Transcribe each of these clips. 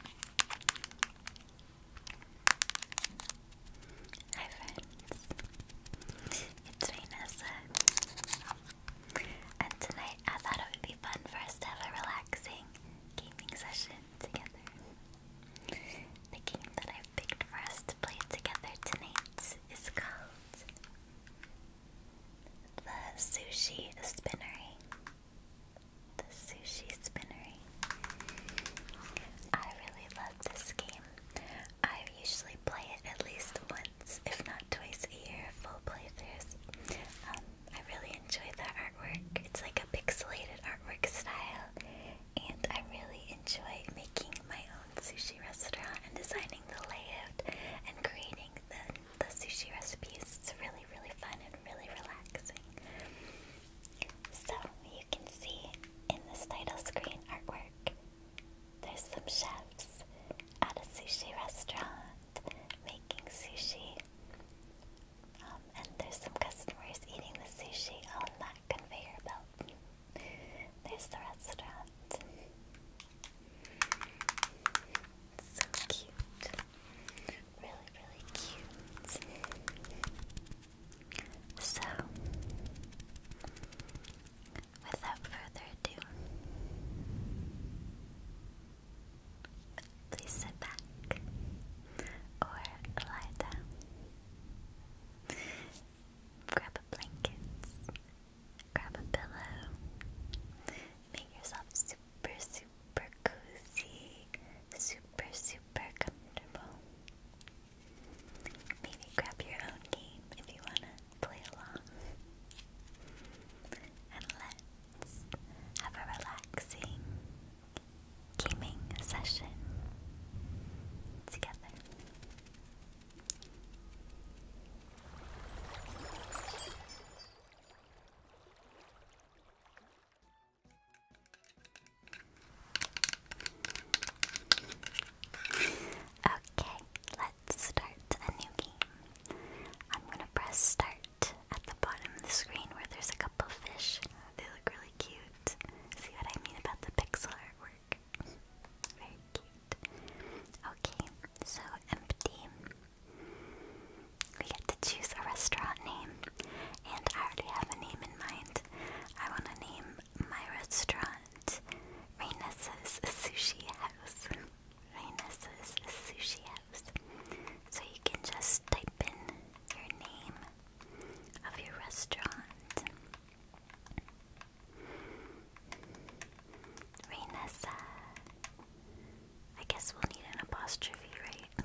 Hi friends, it's Vanessa and tonight I thought it would be fun for us to have a relaxing gaming session together. The game that I've picked for us to play together tonight is called the Sushi Spinnery. The Sushi Spinnery. I really love this game. I usually play it at least once, if not twice a year, full playthroughs. Um, I really enjoyed the artwork. It's like a pixelated artwork style, and I really enjoy making my own sushi restaurant and designing the layout and creating the, the sushi recipes. It's really, really fun and really relaxing. So you can see in this title screen artwork, there's some chefs at a sushi restaurant making sushi. Um, and there's some customers eating the sushi on that conveyor belt. There's the restaurant. So cute. Really, really cute. So, without further ado, please sit back or lie Grab a blanket, grab a pillow, make yourself super, super super cozy, super, super comfortable. Maybe grab your own game if you want to play along. And let's have a relaxing gaming session together. Okay, let's start a new game. I'm gonna press start at the bottom of the screen where there's a couple fish. They look really cute. See what I mean about the pixel artwork? Very cute. Okay, so empty we get to choose a restaurant name, and I already have a name in mind. I want to name my restaurant Rainessa's Sushi House. Rainessa's Sushi House. So you can just type in your name of your restaurant. Rainessa. I guess we'll need an apostrophe, right?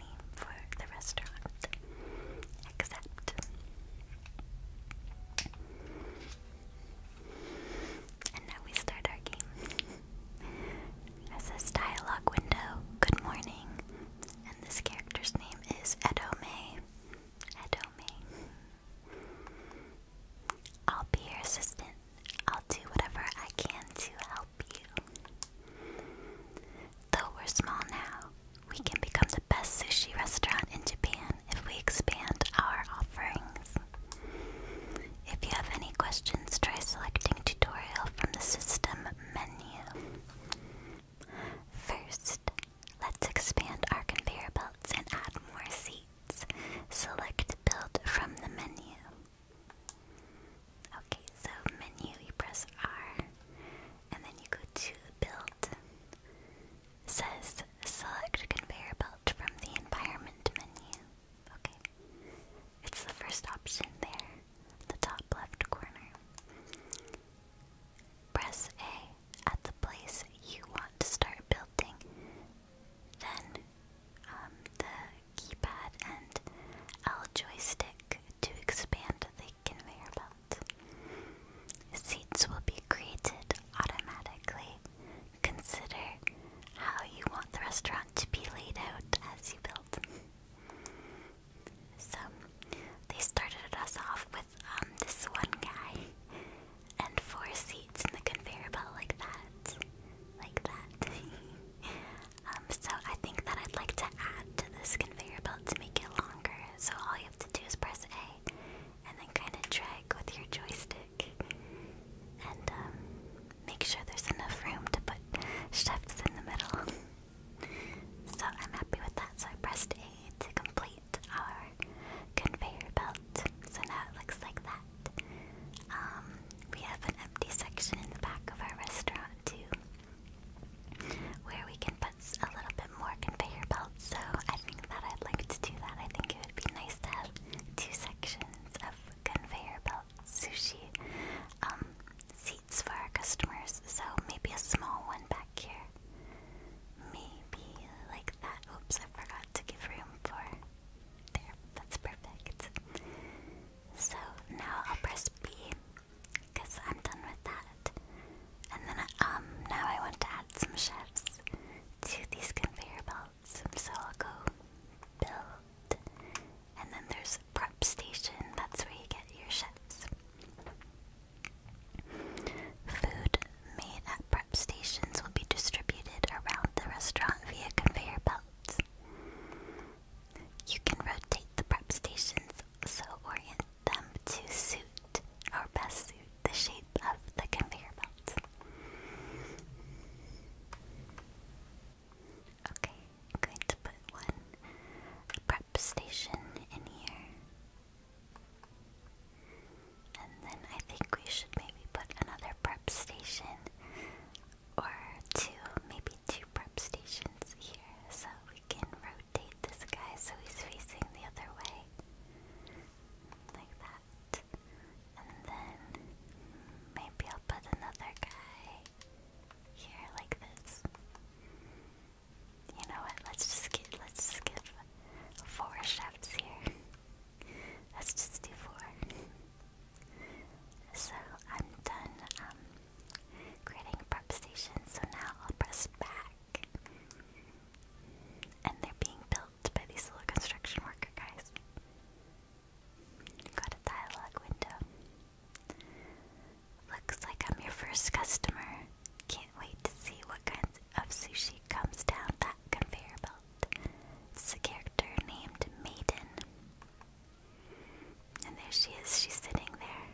for the restaurant, except and now we start our game. it dialogue window, good morning. And this character's name is Edome. Edome. I'll be your assistant. I'll do whatever I can to help Though we're small now, we can become the best sushi restaurant in Japan if we expand our offerings. If you have any questions, try selecting tutorial from the system menu. First, let's expand our conveyor belts and add more seats. Select build from the menu. Okay, so menu, you press R, and then you go to build. It says select conveyor belt from the environment menu. Okay, it's the first option there, the top left corner. Press A at the place you want to start building. Then um, the keypad and L joystick to expand the conveyor belt. Seats will be created automatically. Consider how you want the restaurant to be laid out as you build. so, they started us off with um, this one guy and four seats in the conveyor belt, like that. Like that. Um, so I think that I'd like to add to this conveyor belt to make it longer. So all you have to do is press A, and then kind of drag with your joystick, and um, make sure there's enough room to put chefs in the middle. so I'm happy with that. So I pressed A to complete our conveyor belt. So now it looks like that. Um, we have an empty section in the back of our restaurant to where we can put a little bit more conveyor belts. So I think that I'd like to do that. I think it would be nice to have two sections of conveyor belt sushi um, seats for our customers. So maybe a small one back here. Maybe like that. Oops, I forgot to give room for. There, that's perfect. So now I'll press B because I'm done with that. And then, um, now I want to add some chefs to these conveyor belts, so I'll go build. And then there's a prep station, that's where you get your chefs. Food made at prep stations will be distributed around the restaurant via conveyor belts. You can rotate the prep stations so orient them to suit or best suit the shape of the conveyor belt. Okay, I'm going to put one prep station in here. And then I think we should maybe put another prep station or two, maybe two prep stations here, so we can rotate this guy so he's facing the other way. Like that. And then maybe I'll put another guy here like this. You know what? Let's just get let's just four shafts here. let's just do four. So I'm done um, creating prep station, so now I'll press back. And they're being built by these little construction worker guys. Got a dialogue window. Looks like I'm your first customer. Can't wait to see what kinds of sushi comes down that conveyor belt. It's a character named Maiden. And there she is, she's sitting there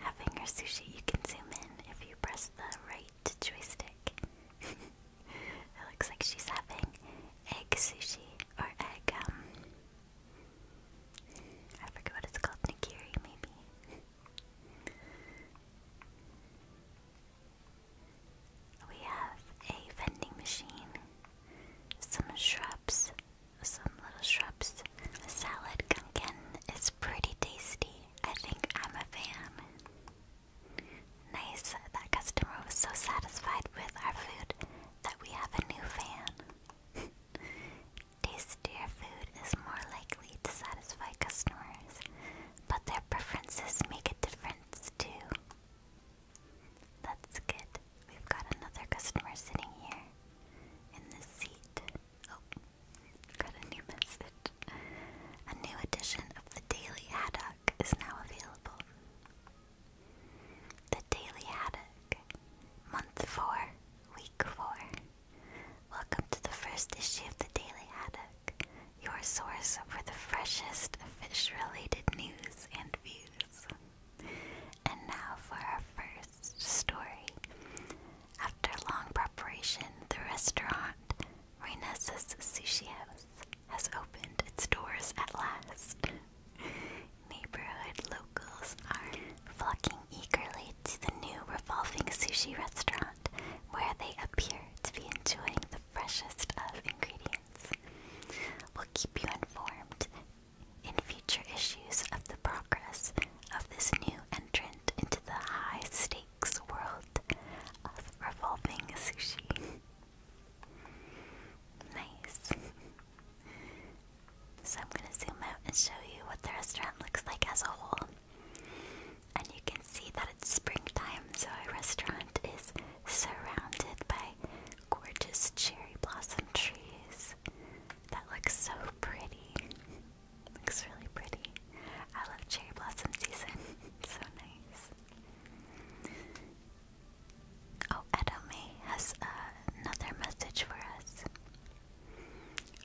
having her sushi. You can zoom in if you press the right joystick. it looks like she's having egg sushi or egg, um, I forget what it's called, nigiri maybe. We have a vending machine, some shrubs, some little shrubs. Salad gunkin is pretty tasty. I think I'm a fan. Nice, that customer was so satisfied with our food that we have a new fan. Tastier food is more likely to satisfy customers, but their preferences make a difference too. That's good. We've got another customer sitting here in this seat. Oh, got a new message. A new edition of the Daily Haddock is now available. The Daily Haddock, Month 4, Week 4. Welcome to the first issue of the Daily Haddock, your source for the freshest fish related news and views. And now for our first story. After long preparation, the restaurant Renes's Sushi House has opened its doors at last. Neighborhood locals are flocking eagerly to the new revolving sushi restaurant where they appear to be enjoying the freshest of ingredients. We'll keep you informed in future issues of the progress of this new entrant into the high stakes world of revolving sushi. nice. so I'm gonna zoom out and show you what the restaurant looks like as a whole. And you can see that it's springtime, so our restaurant is surrounded by gorgeous cherry blossom trees. That looks so pretty. looks really pretty. I love cherry blossom season. so nice. Oh, Edome has another message for us.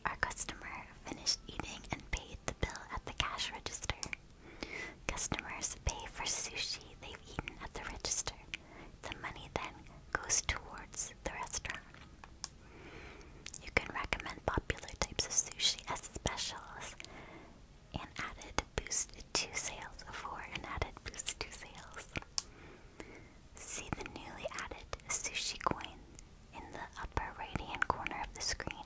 Our customer finished eating and paid the bill at the cash register. Customers pay for sushi they've eaten at the register. The money then goes towards the restaurant. You can recommend popular types of sushi as specials and added boost to sales for an added boost to sales. See the newly added sushi coin in the upper right hand corner of the screen.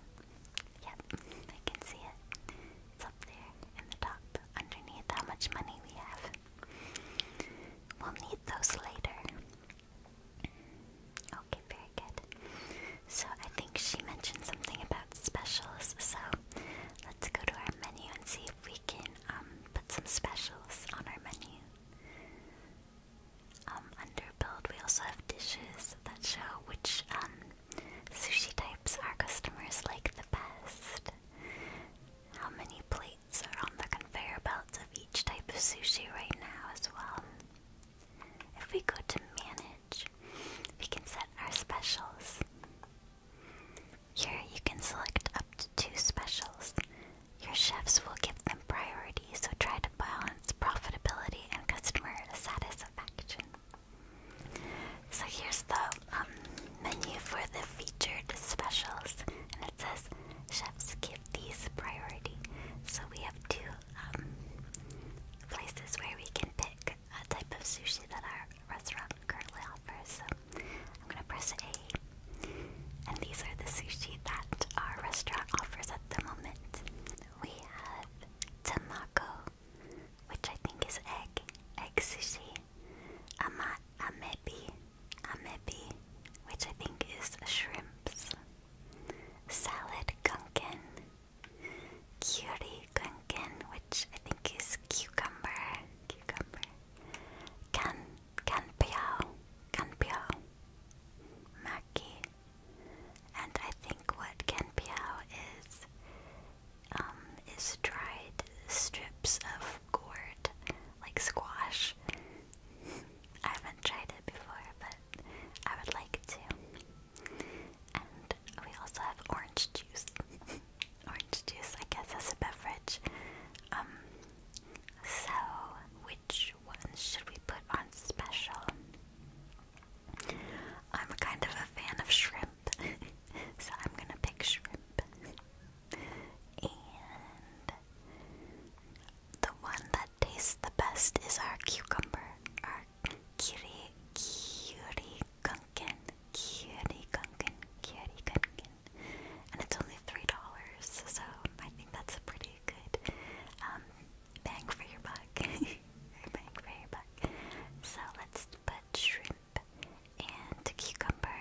Yep, I can see it. It's up there in the top underneath how much money we have. We'll need those later. Okay, very good. So I think she mentioned something about specials, so let's go to our menu and see if we can um, put some specials on our menu. Um, under build, we also have dishes that show which um, sushi types our customers like the best, how many plates plates are on the conveyor belts of each type of sushi right now as well. If we go to manage, we can set our specials. Here you can select up to two specials. Your chefs will give them priority, so try to balance profitability and customer satisfaction. So here's the um, menu for the featured specials, and it says chefs give these priority. So we have two um, places where we can pick a type of sushi that our restaurant currently offers. So I'm gonna press A, and these are the sushi that our restaurant offers at the moment. We have tamako, which I think is egg, egg sushi, ama amebi, amebi, which I think is shrimps, salad gunkin, curry gunkin, which I think is cucumber, cucumber, can canpiao, canpiao, maki, and I think what canpiao is um, is dried strips of gourd like squash. I haven't tried it before, but I would like to. And we also have orange juice. orange juice, I guess, as a beverage. Um, so, which one should we put on special? I'm a kind of a fan of shrimp, so I'm gonna pick shrimp. And the one that tastes the best is our cucumber, our kiri kiri gunkin, kiri gunkin, kiri gunkin, and it's only three dollars. So I think that's a pretty good um, bang for your buck. bang for your buck. So let's put shrimp and cucumber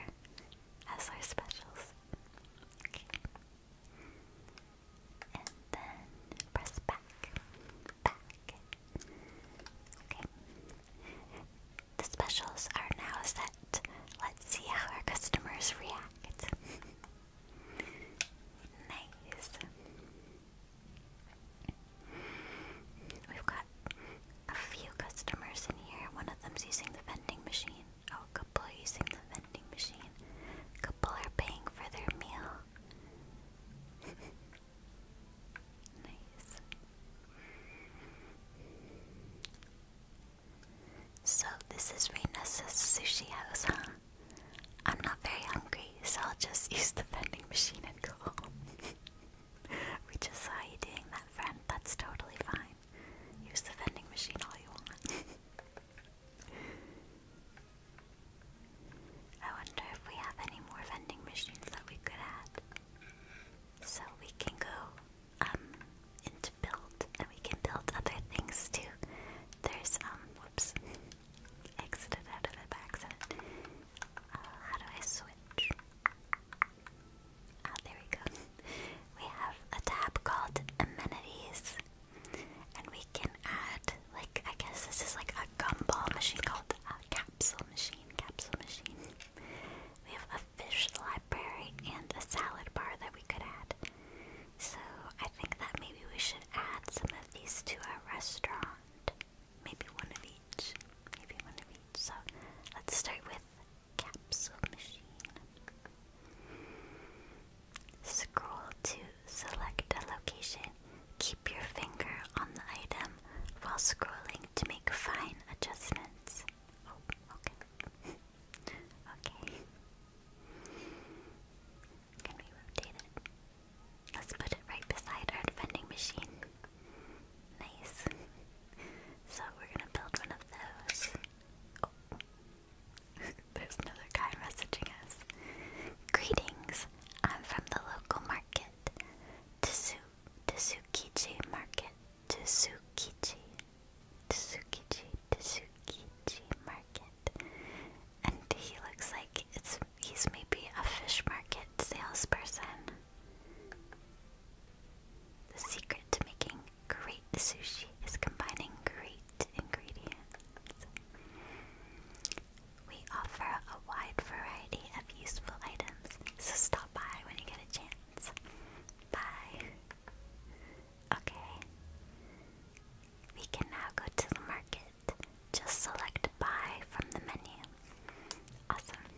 as our specials. And then press back. Back. Okay. The specials are now set. Let's see how our customers react. nice. We've got a few customers in here. One of them's using the vending machine. Oh, couple using the vending machine. Couple are paying for their meal. nice. So this is Reina's sushi house, huh? I'm not very hungry, so I'll just use the vending machine and go home. we just saw you doing that, friend. That's totally fine. Use the vending machine all you want. I wonder if we have any more vending machines that we could add. So we can go um, into build and we can build other things too. There's um whoops. Exited out of it by uh, how do I switch? Ah, there we go. We have a tab called amenities, and we can add, like, I guess this is like a gumball machine called a capsule machine. Capsule machine. We have a fish library and a salad bar that we could add. So I think that maybe we should add some of these to our restaurant. Maybe one of each. Maybe one of each. So let's start with capsule machine. Scroll to select a location. Keep your finger on the item while scrolling to make fine adjustments. Oh, okay. okay. Can we rotate it? Let's put it right beside our vending machine. Nice. So we're gonna build one of those. There's another guy messaging us. Greetings. I'm from the local market. Tsu Tsukichi Market. Tsukichi. Tsukichi. Tsukichi Market. And he looks like it's he's maybe a fish market salesperson. The secret to making great sushi is combining great ingredients. We offer a wide variety of useful items, so stop by when you get a chance. Bye. Okay. We can now go to the market. Just select buy from the menu. Awesome.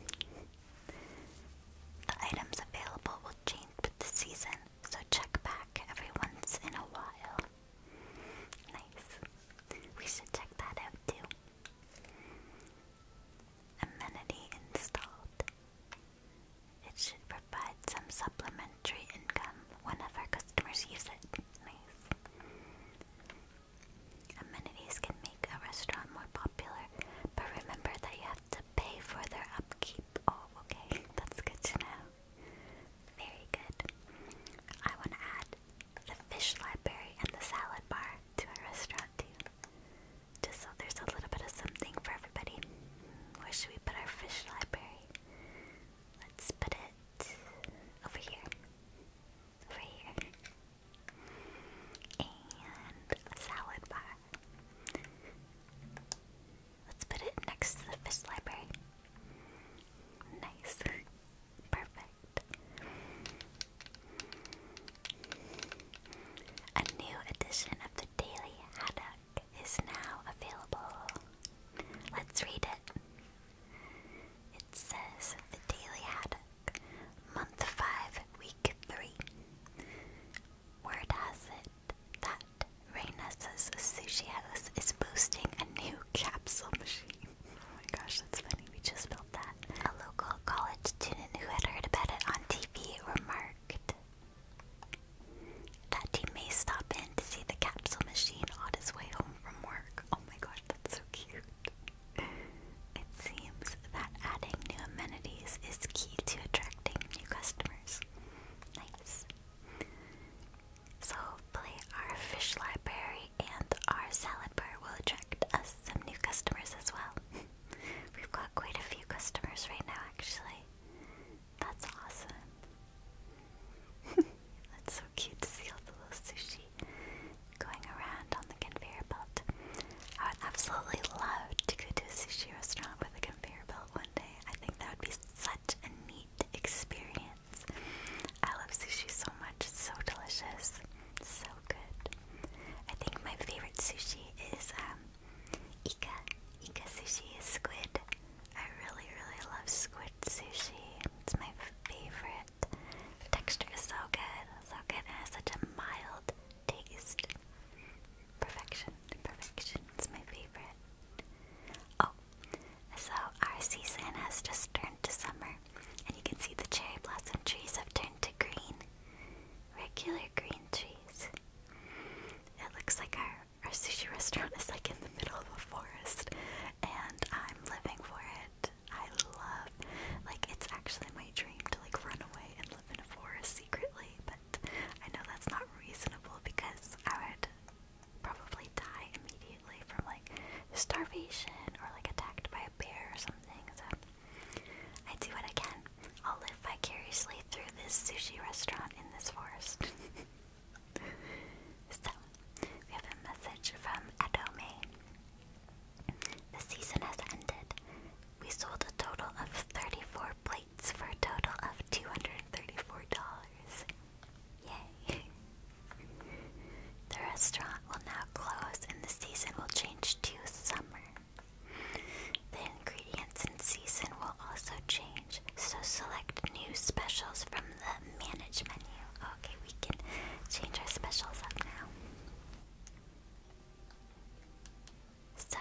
The items available change with the season, so check back every once in a while. Nice. We should check that out too. Amenity installed. It should provide some supplementary income whenever customers use it. Nice. Amenities can make a restaurant more popular, but remember that you have to to pay for their upkeep. Oh, okay, that's good to know. Very good. I want to add the fish library and the salad bar to our restaurant too. Just so there's a little bit of something for everybody. Where should we put our fish library? Let's put it over here. Over here. And a salad bar. Let's put it next to the fish library. Nice. Perfect. A new edition of the Daily Haddock is now available. Let's read it. It says The Daily Haddock, Month 5, Week 3. Word has it that Reyna's sushi house is boosting a new capsule machine. oh my gosh, that's funny. We just built that. A local college student who had heard about it on TV remarked that he may stop in to see the capsule machine on his way home from work. Oh my gosh, that's so cute. It seems that adding new amenities is key to attracting new customers. Nice. So, play our fish library and our salad bar will attract us some new customers as well. We've got quite a few customers right now, actually. That's awesome. That's so cute to see all the little sushi going around on the conveyor belt. I would absolutely love to go to a sushi restaurant with a conveyor one day. I think that would be such a neat experience. I love sushi so much, it's so delicious, so good. I think my favorite sushi is um Ika. Ika sushi is squid. I really, really love squid sushi. It's my favorite. texture is so good, so good, It has such a mild taste. Perfection. Perfection's my favorite. Oh, so our season has just turned to summer, and you can see the cherry blossom trees have turned to green. Regular green trees. It looks like our, our sushi restaurant is like in the middle of a forest, and I'm living for it. I love, like, it's actually my dream to like run away and live in a forest secretly, but I know that's not reasonable because I would probably die immediately from like starvation or like attacked by a bear or something. So I do what I can. I'll live vicariously through this sushi restaurant in this forest. so, we have a message from Adome. The season has ended. We sold a total of 34 plates for a total of $234. Yay! the restaurant will now close and the season will change to summer. The ingredients and season will also change, so select new specials from the manage menu. Okay, we can change our specials up now. So,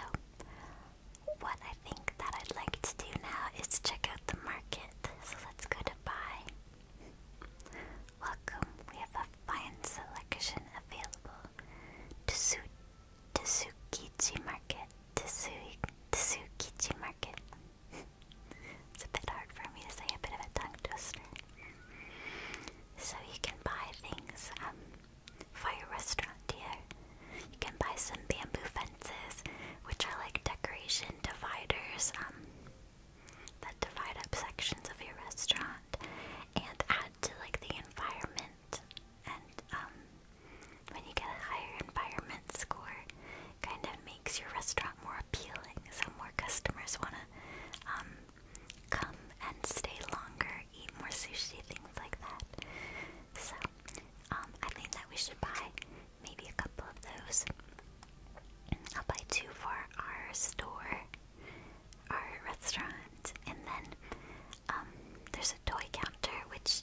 what I think that I'd like to do now is check out the market. So, let's go to buy. Welcome, we have a fine selection available. Tsu Tsukichi Market. Tsu Tsukichi Market. it's a bit hard for me to say, a bit of a tongue twister. So, you can buy things. Um, for your restaurant here. You can buy some bamboo fences, which are like decoration dividers um, that divide up sections of your restaurant and add to like the environment. And um, when you get a higher environment score, it kind of makes your restaurant more appealing, so more customers want to um, come and stay longer eat more sushi, things like that. So, um, I think that we should buy maybe a couple of those. I'll buy two for our store, our restaurant, and then um, there's a toy counter which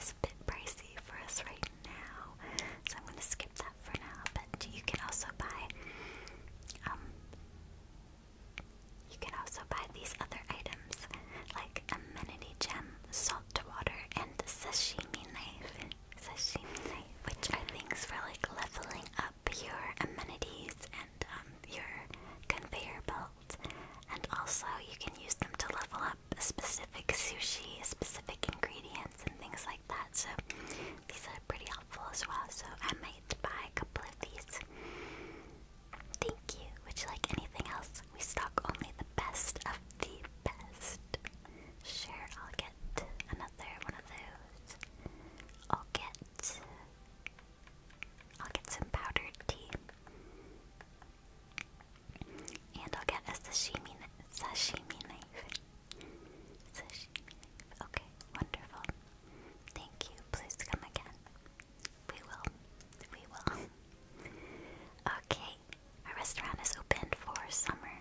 is a bit pricey for us right now, so I'm going to skip that for now. But you can also buy um, you can also buy these other items like amenity gem, salt water, and sashimi knife. which are things for like leveling up your amenities and um, your conveyor belts, And also, you can use them to level up specific sushi, specific ingredients, and things like that. So, these are pretty helpful as well. So, I might buy a couple of these. Thank you. Would you like anything else? We stock only the best of the best. Sure, I'll get another one of those. I'll get. I'll get some powdered tea. And I'll get a sashimi, sashimi knife. Sashimi knife. Okay, wonderful. Thank you. Please come again. We will. We will. Okay, our restaurant is open for summer.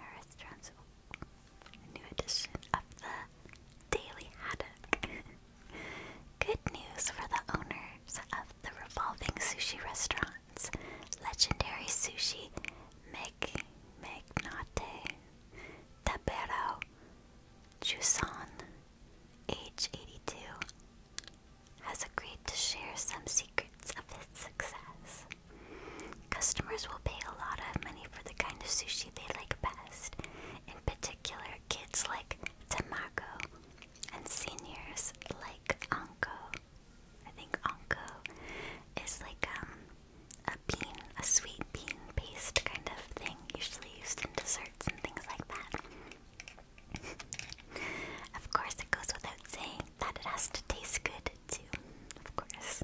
Our restaurant's new edition of the Daily Haddock. Good news for the owners of the revolving sushi restaurants, legendary sushi Meg Magnate, Tabero, Juson, age 82, has agreed to share some secrets of his success. Customers will pay a lot of money for the kind of sushi they like best. In particular, kids like tamago, and seniors like Anko. I think Anko is like um a bean, a sweet bean paste kind of thing, usually used in desserts and things like that of course, it goes without saying that it has to taste good, too. Of course.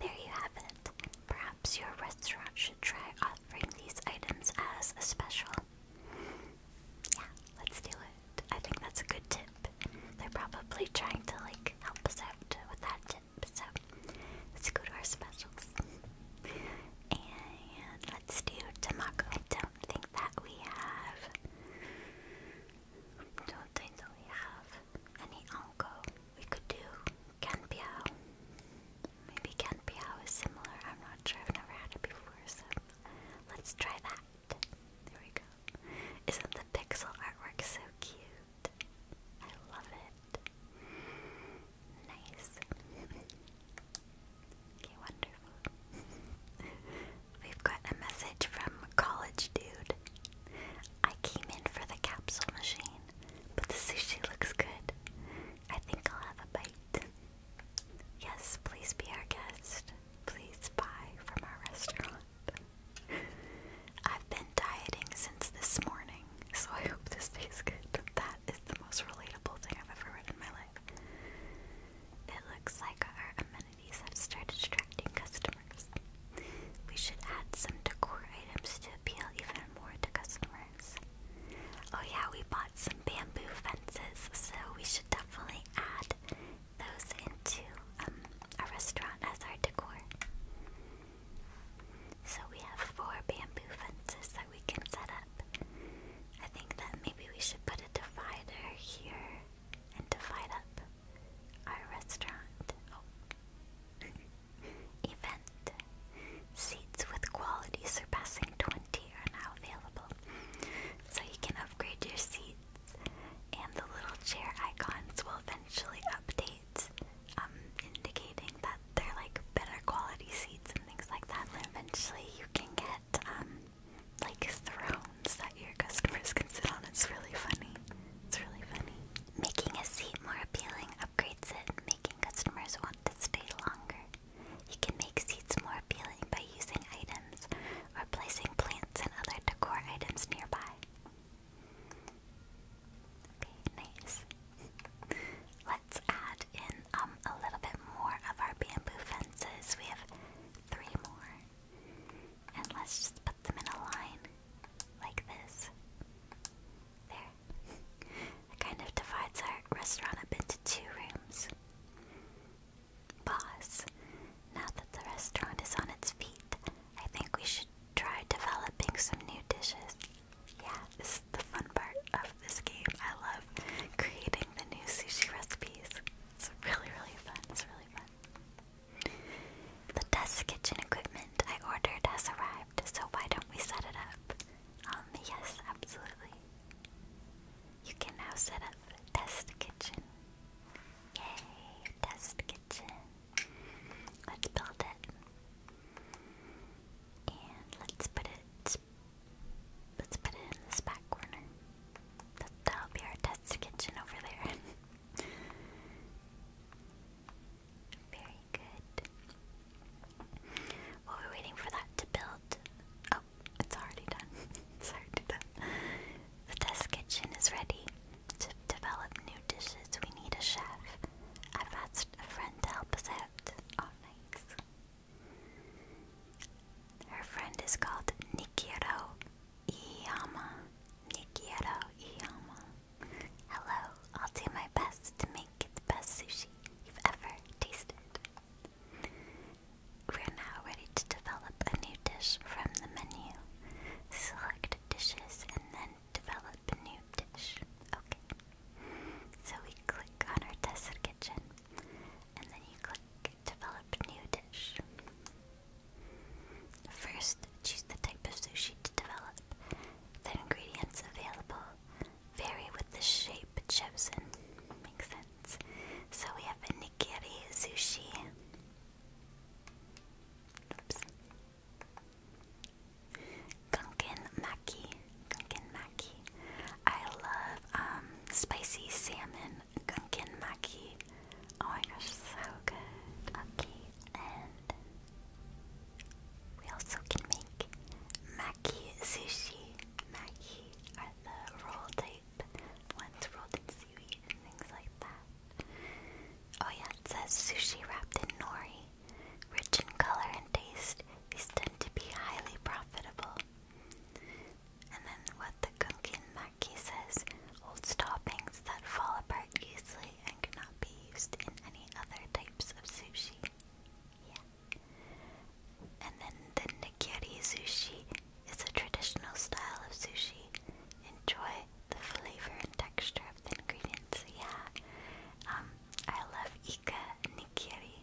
There you have it. Perhaps your restaurant should try offering these items as a special. Yeah, let's do it. I think that's a good tip. They're probably trying to like help us out with that tip, so let's go to our specials. And let's do Tamako. I don't think that we have. Don't think that we have any Onko. We could do Kanpiao. Maybe Kanpiao is similar. I'm not sure. I've never had it before, so let's try that. There we go. Isn't the pixel artwork so cute? I love it. Nice. Okay, wonderful. We've got a message from College Dude. I came in for the capsule machine, but the sushi looks good. I think I'll have a bite. Yes, please be our guest. Please buy from our restaurant. I've been dieting since this morning, so I hope this tastes good. It's the most relatable thing I've ever read in my life. It looks like our amenities have started attracting customers. We should add some decor items to appeal even more to customers. Oh, yeah, we bought some bamboo fences, so we should definitely add those into um, our restaurant as our decor. So we have four bamboo fences we can set up. I think that maybe we should put a divider here and divide up our restaurant. Oh. Event. Seats with quality surpassing 20 are now available. So you can upgrade your seats, and the little chair icons will eventually update, um, indicating that they're like better quality seats and things like that. eventually you can get um, like thrones that your customers can sit on. It's really funny. It's really funny. Making a seat more appealing upgrades it, making customers want to stay longer. You can make seats more appealing by using items or placing plants and other decor items nearby. Okay, nice. Let's add in um, a little bit more of our bamboo fences. We have three more. And let's just put them in a line like this. There. It kind of divides our restaurant up into two rooms. Boss, now that the restaurant is on its feet, I think we should try developing some new dishes. Yeah, this is the fun part of this game. I love creating the new sushi recipes. It's really, really fun. It's really fun. The test kitchen equipment I ordered has arrived, so why don't we set it up? Um, yes, absolutely. You can now set up test kitchen. Yay, test kitchen. Let's build it. And let's put it let's put it in this back corner. That, will be our test kitchen over there. Very good. While we're waiting for that to build, oh, it's already done. it's already done. The test kitchen is ready. To develop new dishes, we need a chef. I've asked a friend to help us out. Oh, nice. Her friend is called Nikiero Iyama. Nikiero Iyama. Hello, I'll do my best to make it the best sushi you've ever tasted. We're now ready to develop a new dish from the menu. Select dishes and then develop a new dish. Okay. So we click on our tested kitchen, and then you click develop new dish. First, choose the type of sushi to develop. Then, ingredients available vary with the shape chosen. Makes sense. So we have a nigiri sushi. Oops. Gunkin Maki. Gunkin Maki. I love um, spicy salmon Gunkin Maki. Oh my gosh, so good. Okay, and we also can make Maki sushi. Maki are the roll type ones rolled in seaweed and things like that. Oh yeah, it says sushi wrapped in nori. Rich in color and taste, these tend to be highly profitable. And then what the Gunkin Maki says, old stoppings that fall apart easily and cannot be used in any other types of sushi. Yeah. And then the nigiri sushi is a traditional style of sushi. Enjoy the flavor and texture of the ingredients. Yeah. Um, I love Ika Nikiri.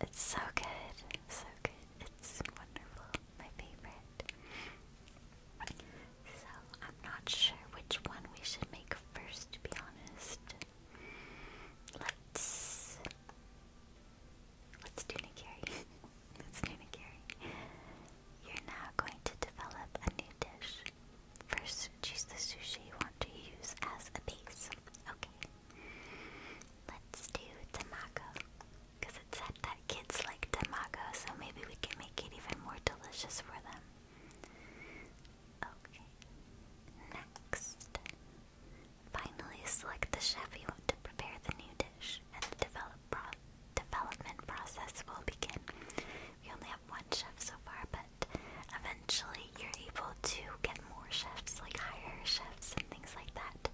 It's so good. So good. It's wonderful. My favorite. So I'm not sure which one we should make first to be honest. Let's let's do Nikiri. let's do Nikiri. You're now going to develop a new dish. First, choose the sushi you want to use as a base. Okay. Let's do tamago. Because it said that kids like tamago, so maybe we can make it even more delicious for them. Okay. Next. Finally, select the chef you want to prepare the new dish, and the development process will begin. We only have one chef so far, but eventually you're able to get more chefs, like higher chefs and things like that.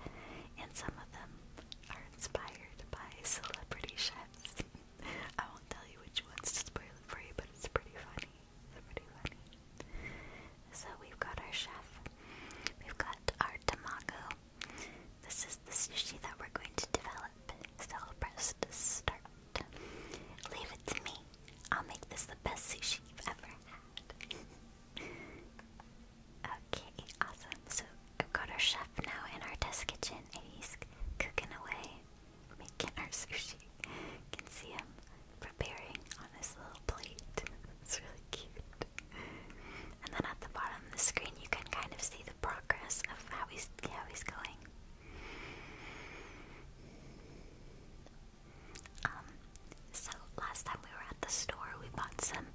And some of them are inspired by celebrity chefs. I won't tell you which ones to spoil it for you, but it's pretty funny. It's pretty funny. So we've got our chef. We've got our tamago. This is the sushi that we're going to develop. So press to start. Leave it to me. I'll make this the best sushi you've ever had. okay, awesome. So we've got our chef now in our test kitchen and he's cooking away, making our sushi. can see him preparing on his little plate. it's really cute. And then at the bottom of the screen you can kind of see the progress of how he's how he's going. Um, so last time we were at the store, we bought some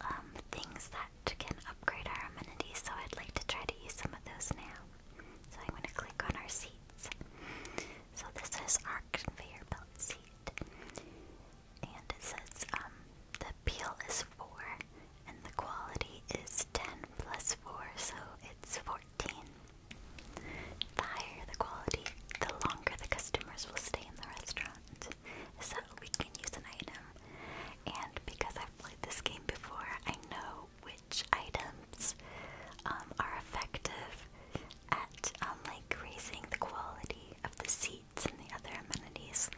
um, things that can upgrade our amenities. So I'd like to try to use some of those now. So I'm going to click on our seats. So this is our conveyor belt seat, and it says um, the peel is four, and the quality is ten plus four, so it's fourteen. The higher the quality, the longer the customers will stay in the restaurant. So we can use an item. And because I've played this game before, I know which items um, are effective at um, like raising the quality of the seats and the other amenities.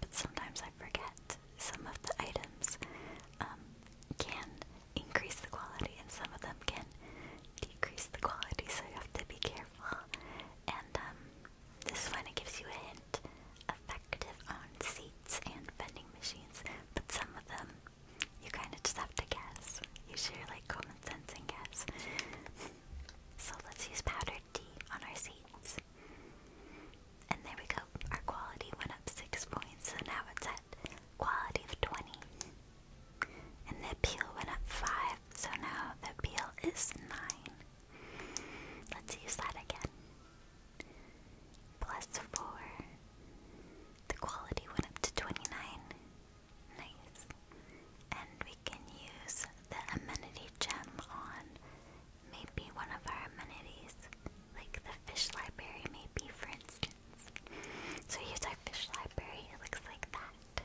But sometimes I forget some of the items um, can increase the quality and some of them can decrease the quality, so you have to be careful. And um, this one, it gives you a hint effective on seats and vending machines, but some of them you kind of just have to guess. Use your like common sense and guess. so let's use powdered D on our seats. And there we go. Our quality went up six points, so now it's at quality of 20. And the appeal went up 5, so now the appeal is 9. Let's use that again. Plus 4. The quality went up to 29. Nice. And we can use the amenity gem on maybe one of our amenities, like the fish library, maybe, for instance. So here's our fish library. It looks like that.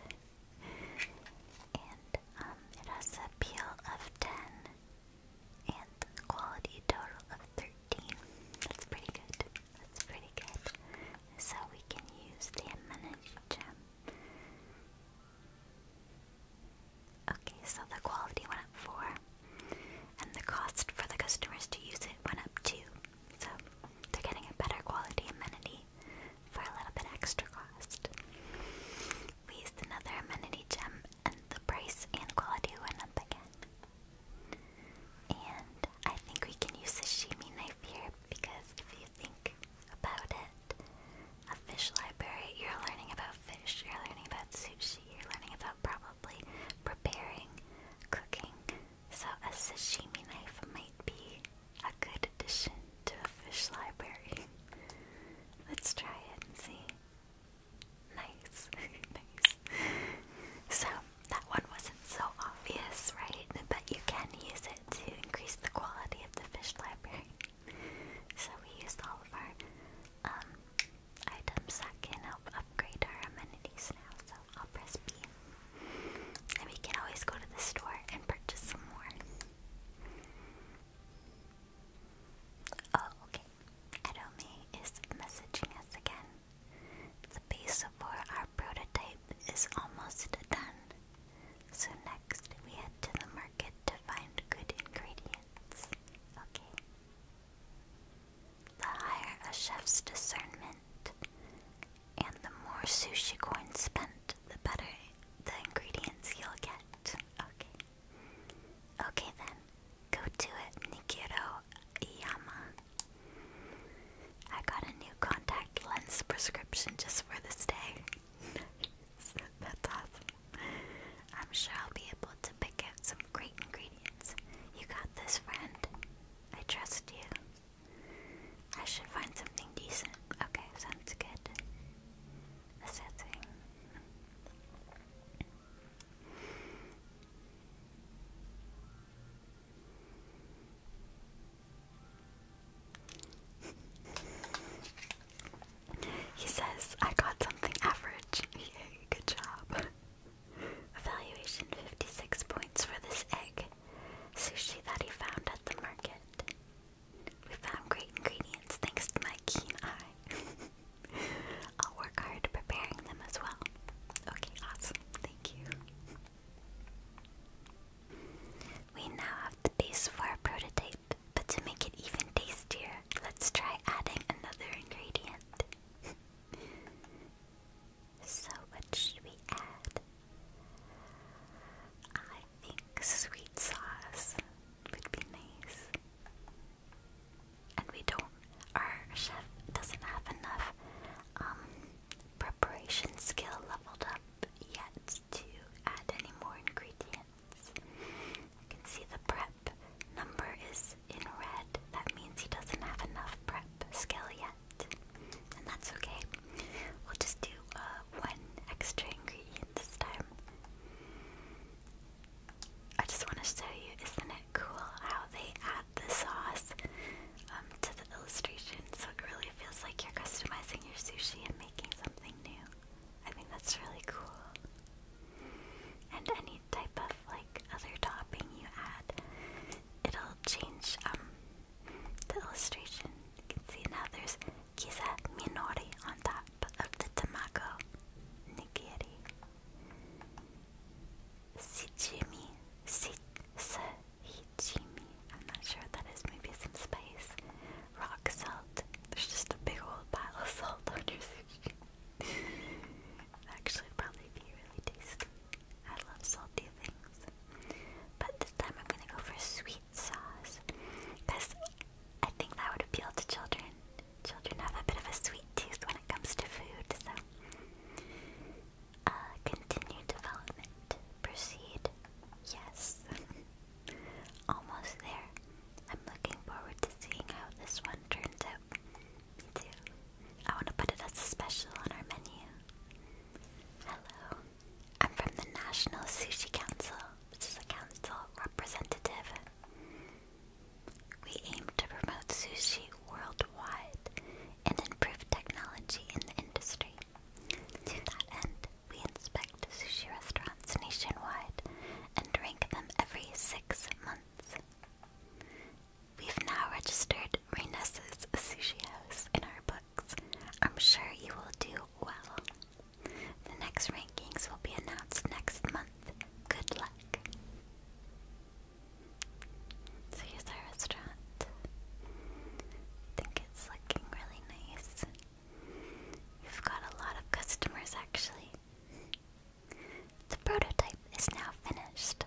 And um, it has a peel of 10 and quality total of 13. That's pretty good. That's pretty good. So we can use the amenity Okay, so the quality went up 4. And the cost for the customers to use it went up 2. So they're getting a better quality amenity for a little bit extra cost. We used another amenity gem, and the price and quality went up again. And I think we can use the shimi knife here because if you think about it, a fish library, you're learning about fish, you're learning about sushi, you're learning about probably preparing, cooking, so a sashimi knife might be a good addition to a fish library. Let's try it and see. Nice, nice. So, that one wasn't so obvious, right? But you can use it to increase the quality of the fish library. So, we used all of our um, items that can help upgrade our amenities now, I'll press B. And we can always go to the store and purchase some more. Oh, okay. Adome is messaging us again. The base for our prototype is almost done. So next we head to the market to find good ingredients. Okay. The higher a chef's discernment, and the more sushi corn spent, the better the ingredients you'll get. Okay. Okay then. Go to it, Nikiro Iyama. I got a new contact lens prescription just for this day. That's awesome. I'm sure I'll be able to pick out some great ingredients. You got this, friend. I trust you. I should find something decent. Okay, sounds good. he says, I got something average. Yay, good job. Evaluation 56 points for this egg. Sushi that he found at the market. We found great ingredients thanks to my keen eye. I'll work hard preparing them as well. Okay, awesome. Thank you. We now have the for our prototype, but to make it even tastier, let's try adding another ingredient. So what should we add? I think sweet sauce would be nice. And we don't, our chef doesn't have enough um, preparation skill leveled up yet to add any more ingredients. You can see the prep number is in red. That means he doesn't have enough prep skill yet. And that's okay. We'll just do uh, one extra ingredient this time. I just want to show you, isn't it cool how they add the sauce um, to the illustration so it really feels like you're customizing your sushi and making something new. I think that's really cool. And any type of like other topping you add, it'll change um, the illustration. You can see now there's Kisa Minori on top of the tamago Nigiri. Sijimi. Si Sahijimi. I'm not sure what that is. Maybe some spice. Rock salt. There's just a big old pile of salt on your sushi. Actually, probably be really tasty. I love salty things. But this time I'm gonna go for sweet sauce. Because I think that would appeal to children. Children have a bit of a sweet tooth when it comes to food, so. Uh, continue development. Proceed. Yes. Almost there. I'm looking forward to seeing how this one turns out. too. I want to put it as a special on our menu. Hello. I'm from the National Sushi Council, which is a council representative. We aim to promote sushi worldwide and improve technology in the industry. To that end, we inspect sushi restaurants nationwide and rank them every six months. We've now registered Reynes's Sushi House in our books. I'm sure you will do well. The next rankings will be announced next month. Good luck. So here's restaurant. I think it's looking really nice. We've got a lot of customers actually. The prototype is now finished.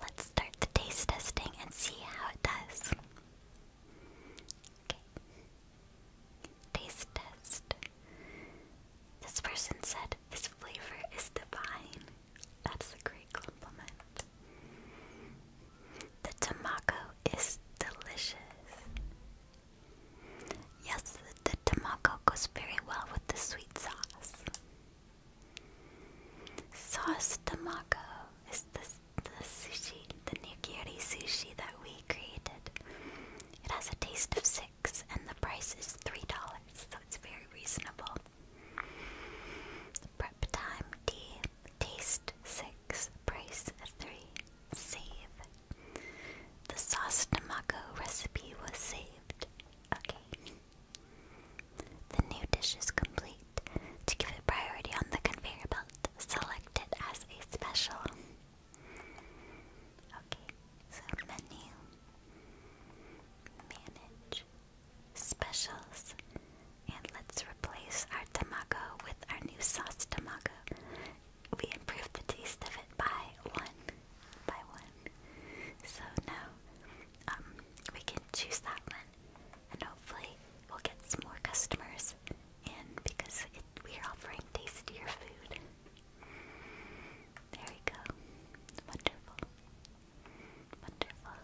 Let's start the taste testing and see how it does. Taste test. This person said this flavor is divine. That's a great compliment. The tamago is delicious. Yes, the tamago goes very well with the sweet sauce. Sauce Tamako is the, the sushi, the nigiri sushi that we created. It has a taste of six, and the price is $3, so it's very reasonable. Prep time D, taste 6, price 3, save. The sauce Tamako recipe was saved. Okay. The new dish is complete. To give it priority on the conveyor belt, select it as a special. Okay, so menu, manage, specials, and let's replace our tamago with our new sauce tamago. We improved the taste of it by one, by one. So now, um, we can choose that one and hopefully we'll get some more customers in because we are offering tastier food. There we go. Wonderful. Wonderful.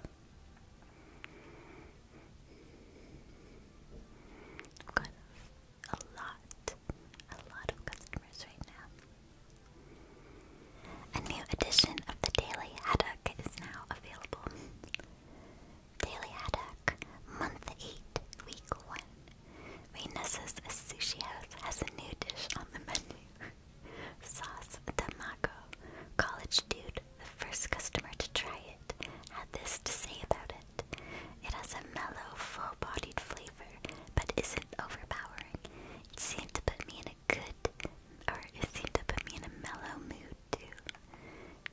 got a lot, a lot of customers right now. A new edition of the Daily had is now available. Daily Haddock, Month 8, Week 1. Rainessa's Sushi House has a new dish on the menu. Sauce Tamago. College dude, the first customer to try it, had this to say about it. It has a mellow, full-bodied flavor, but isn't overpowering. It seemed to put me in good, or it seemed to put me in a mellow mood too.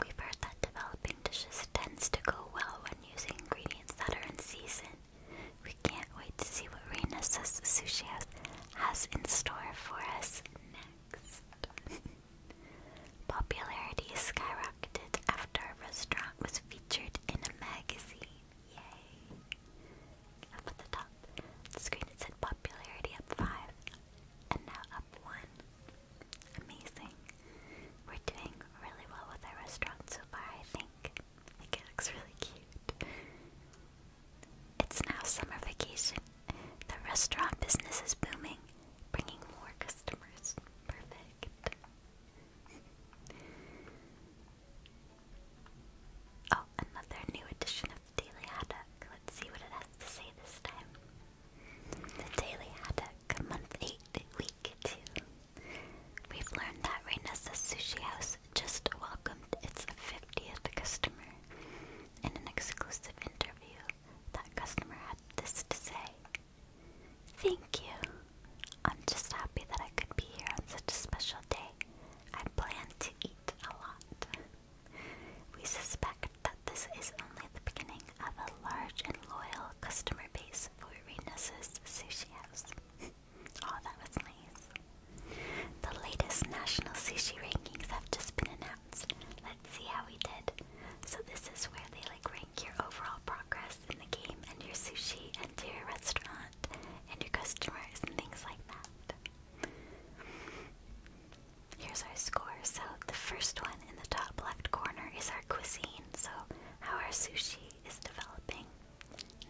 We've heard that developing dishes tends to go well when using ingredients that are in season. We can't wait to see what Reina Sushi has, has in store for us next. Popularity skyrocketed after our restaurant was featured in a magazine. Yay! Up at the top, the screen said popularity up 5 and now up one. Amazing. We're doing really well with our restaurant so far, I think. it looks really cute. It's now summer vacation. The restaurant business is booming, bringing more customers. Perfect. oh, another new addition Daily Haddock. Let's see what it has to say this time. The Daily Haddock, month 8, week 2. We've learned that Reina's Sushi House just welcomed its 50th customer. In an exclusive interview, that customer had this to say. Thank you. I'm just happy that I could be here on such a special day. I plan to eat a lot. We suspect that this is only the beginning of a large and loyal customer base for Renus's Sushi House. oh, that was nice. The latest national sushi rankings have just been announced. Let's see how we did. So this is where they like rank your overall progress in the game and your sushi and your restaurant and your customers and things like that. Here's our score. So the first one in the top left corner is our cuisine. So how our sushi is developing.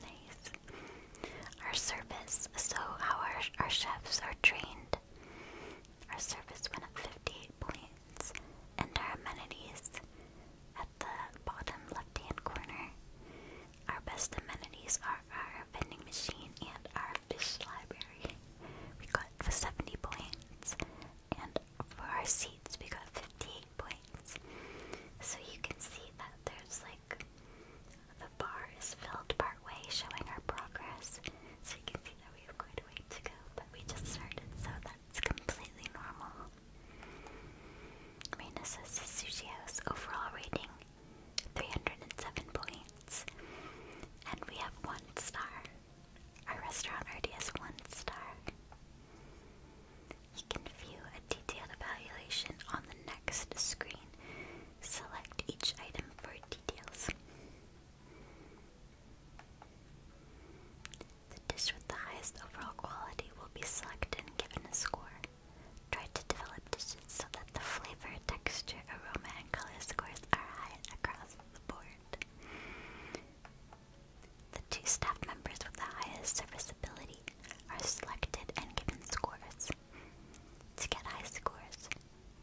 Nice. Our service. So how our our chefs are trained. Our service went up 58 points, and our amenities at the bottom left hand corner. Our best amenities are our vending machine and our British Library, we got for 70 points, and for our seats, we got 58 points. So you can see that there's like the bar is filled part way, showing our progress. So you can see that we have quite a way to go, but we just started, so that's completely normal. Marina says Sushi's overall rating 307 points. And we have one star. Our restaurant already has one star. You can view a detailed evaluation on the next screen. Select each item for details. The dish with the highest overall quality will be selected and given a score. Try to develop dishes the flavor, texture, aroma, and color scores are high across the board. The two staff members with the highest serviceability are selected and given scores. To get high scores,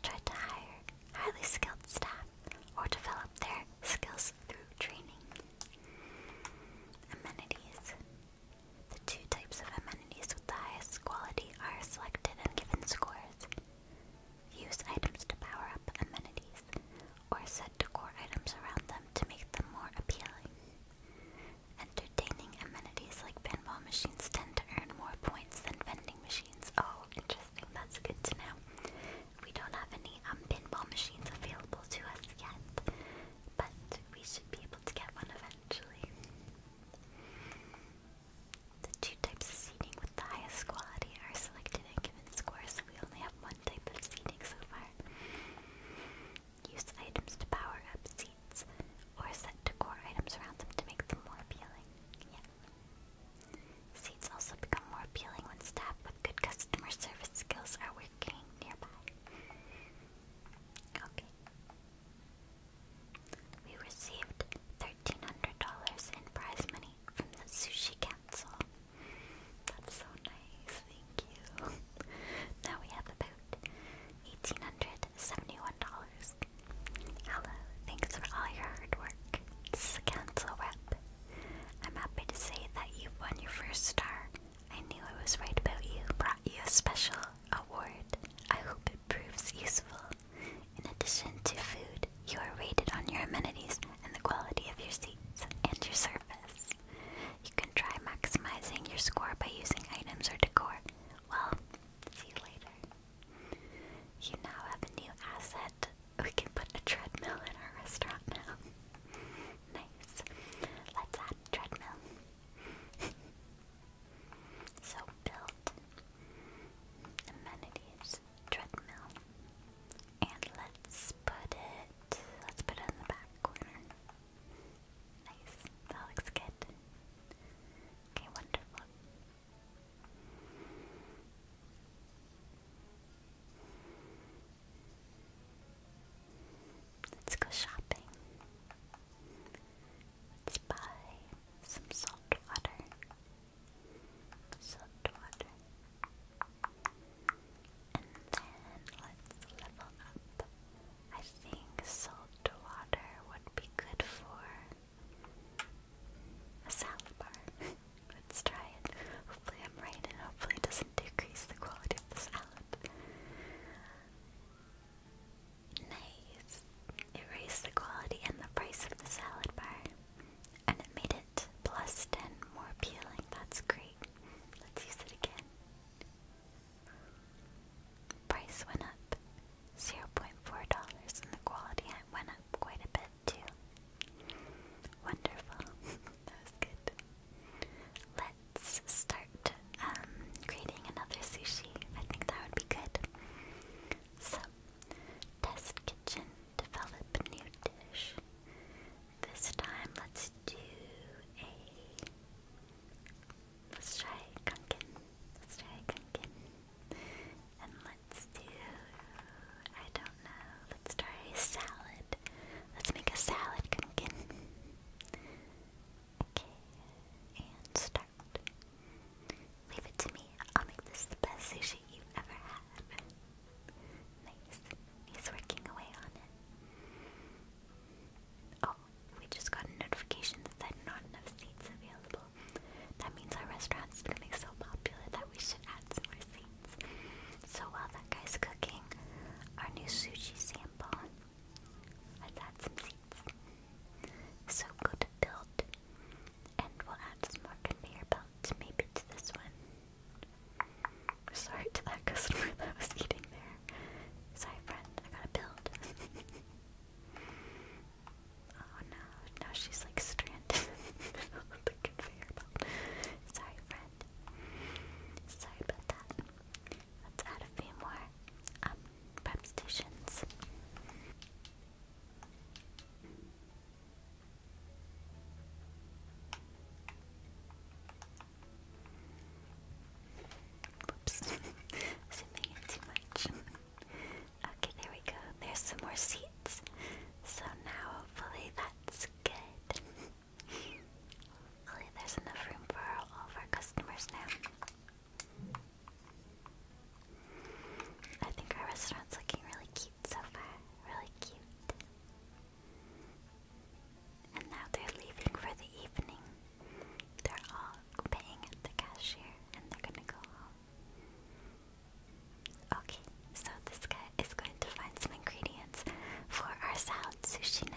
try to hire highly skilled staff or develop their skills through training. Amenities. The two types of amenities with the highest quality are selected and given scores. Use items to power up amenities, or set decor items around them to make them more appealing. Entertaining amenities like pinball machines tend to earn more points than vending machines. Oh, interesting. That's good to know. We don't have any um, pinball machines available to us yet, but we should be able to get one eventually. The two types of seating with the highest quality are selected and given scores, so we only have one type of seating so far. Use items to power up seats, or set decor items around them to make them more appealing. Seats also become more appealing when staff with good customer service skills are working nearby. We received $1,300 in prize money from the Sushi Council. That's so nice, thank you. now we have about $1,871. Hello, thanks for all your hard work. It's is the Council Rep. I'm happy to say that you won your first star. I knew I was right about you. Brought you a special award. I hope proves useful. In addition to food, you are rated on your amenities and the quality of your seats and your service. You can try maximizing your score by using items or decor. Well, see you later. You now have a new asset. We can put a treadmill in our restaurant now. nice. Let's add treadmill. so build amenities, treadmill, and let's put it, let's put it in the back corner. Nice, that looks good. Okay, wonderful. Let's go shopping. Let's buy some salt water salt water. And then let's level up. I think salt water would be good for a salad bar. let's try it. Hopefully I'm and hopefully it doesn't decrease the quality of the salad. Nice. It raised the quality and the price of the salad bar. And it made it plus 10 more appealing. That's great. Let's use it again. Price went up $0.4 and the quality went up quite a bit too. Wonderful. that good. Let's start creating um, another sushi. I think that would be good. So, test kitchen, develop new dish. This time, let's do a. Let's try Gunkin. Let's try Gunkin. And let's do. I don't know. Let's try a salad. Let's make a salad Gunkin. Okay. And start. Leave it to me. I'll make this the best sushi you've ever had. He's working away on it. Oh, we just got a notification that said not enough seats available. That means our restaurant's becoming so popular that we should add more seats. So while that guy's cooking our new sushi sample, let's add some seats. So good build. And we'll add some more conveyor belts, maybe to this one. Sorry to that customer that was eating there. Sorry friend, I gotta build. oh no, now she's like stranded conveyor belt. Sorry friend. Sorry about that. Let's add a few more um, prep stations. Whoops. Zooming in too much. okay, there we go. There's some more seats. So now hopefully that's good. hopefully there's enough room for all of our customers now. I think our restaurant's looking really cute so far. Really cute. And now they're leaving for the evening. They're all paying at the cashier and they're gonna go home. Okay, so this guy is going to find some ingredients for our salad sushi now.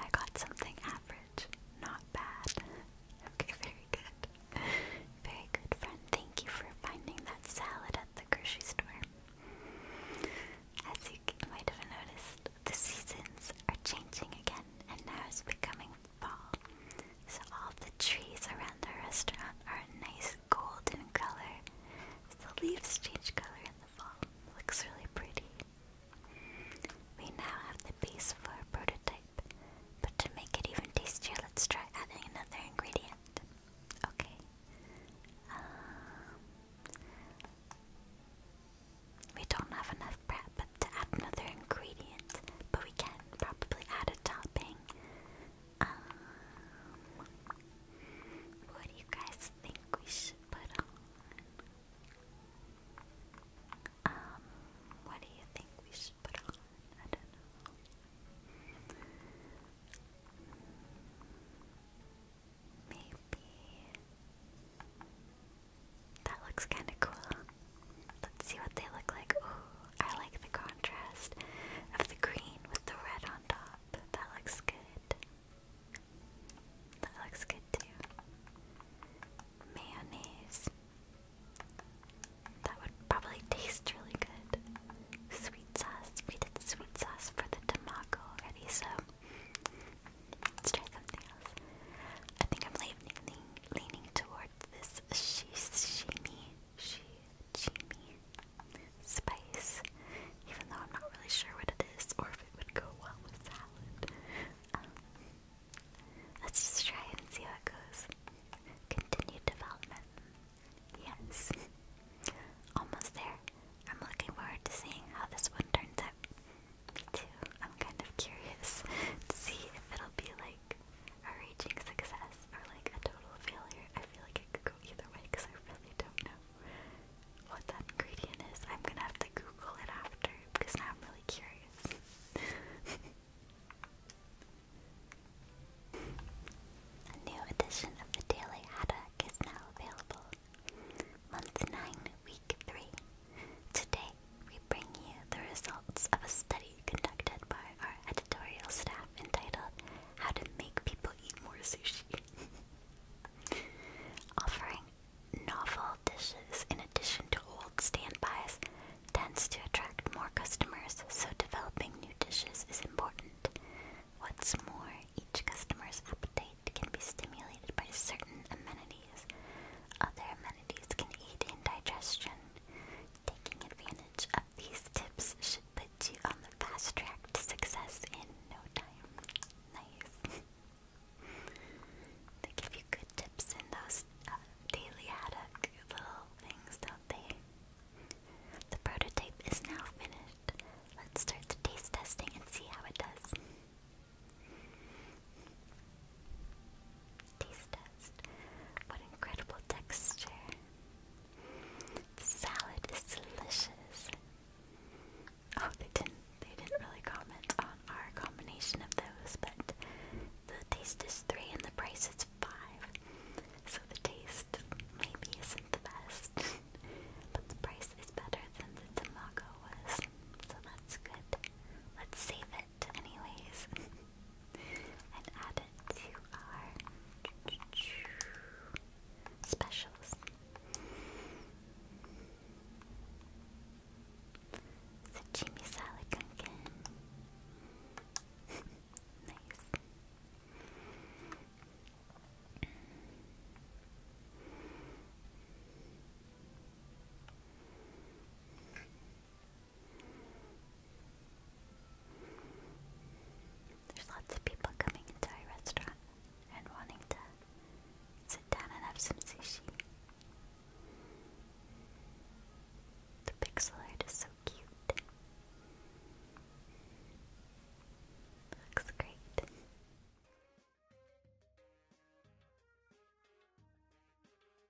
I got something average, not bad. Okay, very good. Very good, friend. Thank you for finding that salad at the grocery store. As you might have noticed, the seasons are changing again, and now it's becoming fall. So all the trees around the restaurant are a nice golden color. The leaves change color in the fall. looks really pretty. We now have the base for a prototype, but to make it even tastier, let's try adding another ingredient. Okay. Um, we don't have enough bread, but to add another ingredient, but we can probably add a topping. Um, what do you guys think we should put on? Um, what do you think we should put on? I don't know. Maybe. That looks kind of cool. Let's see what they look like. Ooh, I like the contrast of the green with the red on top. That looks good. That looks good too. Mayonnaise. That would probably taste really good. Sweet sauce. We did sweet sauce for the tamago already, so let's try something else. I think I'm leaning, leaning towards towards this shishimi, shichimi spice, even though I'm not really sure what it is or if it would go well with salad. Um, let's just try it and see how it goes. Continued development. Yes. Almost there. I'm looking forward to seeing how this one turns out too. I'm kind of curious to see if it'll be like a raging success or like a total failure. I feel like it could go either way because I really don't know what that ingredient is. I'm gonna have to Google it after because I'm really curious. a new edition of the Daily Haddock is now available. Month 9, Week 3. Today, we bring you the results of a study conducted by our editorial staff entitled How to Make People Eat More Sushi. Offering novel dishes in addition to old standbys tends to attract more customers, so developing new dishes is important. What's more, each customer's appetite can be stimulated by certain amenities. Other amenities quantities can aid in digestion. Taking advantage of these tips should put you on the fast track to success in no time. Nice. they give you good tips in those uh, daily haddock little things, don't they? The prototype is now finished. Let's start the taste testing and see how it does. Taste test. What incredible texture. The salad is delicious. Oh, they didn't they didn't really comment on our combination of those, but the taste is three and the price is five. So the taste maybe isn't the best. but the price is better than the tamago was. So that's good. Let's save it anyways and add it to our specials. So Jimmy salad pumpkin. nice. There's lots of people coming into our restaurant and wanting to sit down and have some sushi. The pixel art is so cute. Looks great.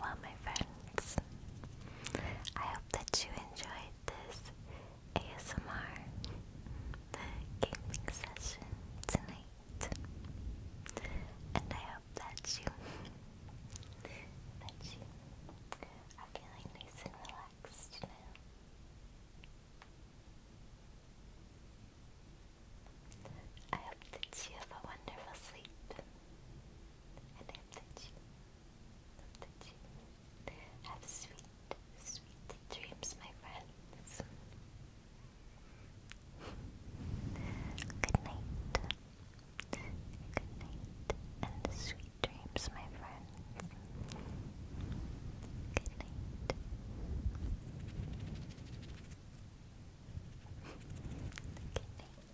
Well, my friends, I hope that you enjoyed this ASMR, gaming session tonight, and I hope that you, that you are feeling nice and relaxed now. I hope that you have a wonderful sleep and Amtachi. Amtachi. Have sweet, sweet dreams, my friends. Good night. Good night, and sweet dreams, my friends. Good night. Good night.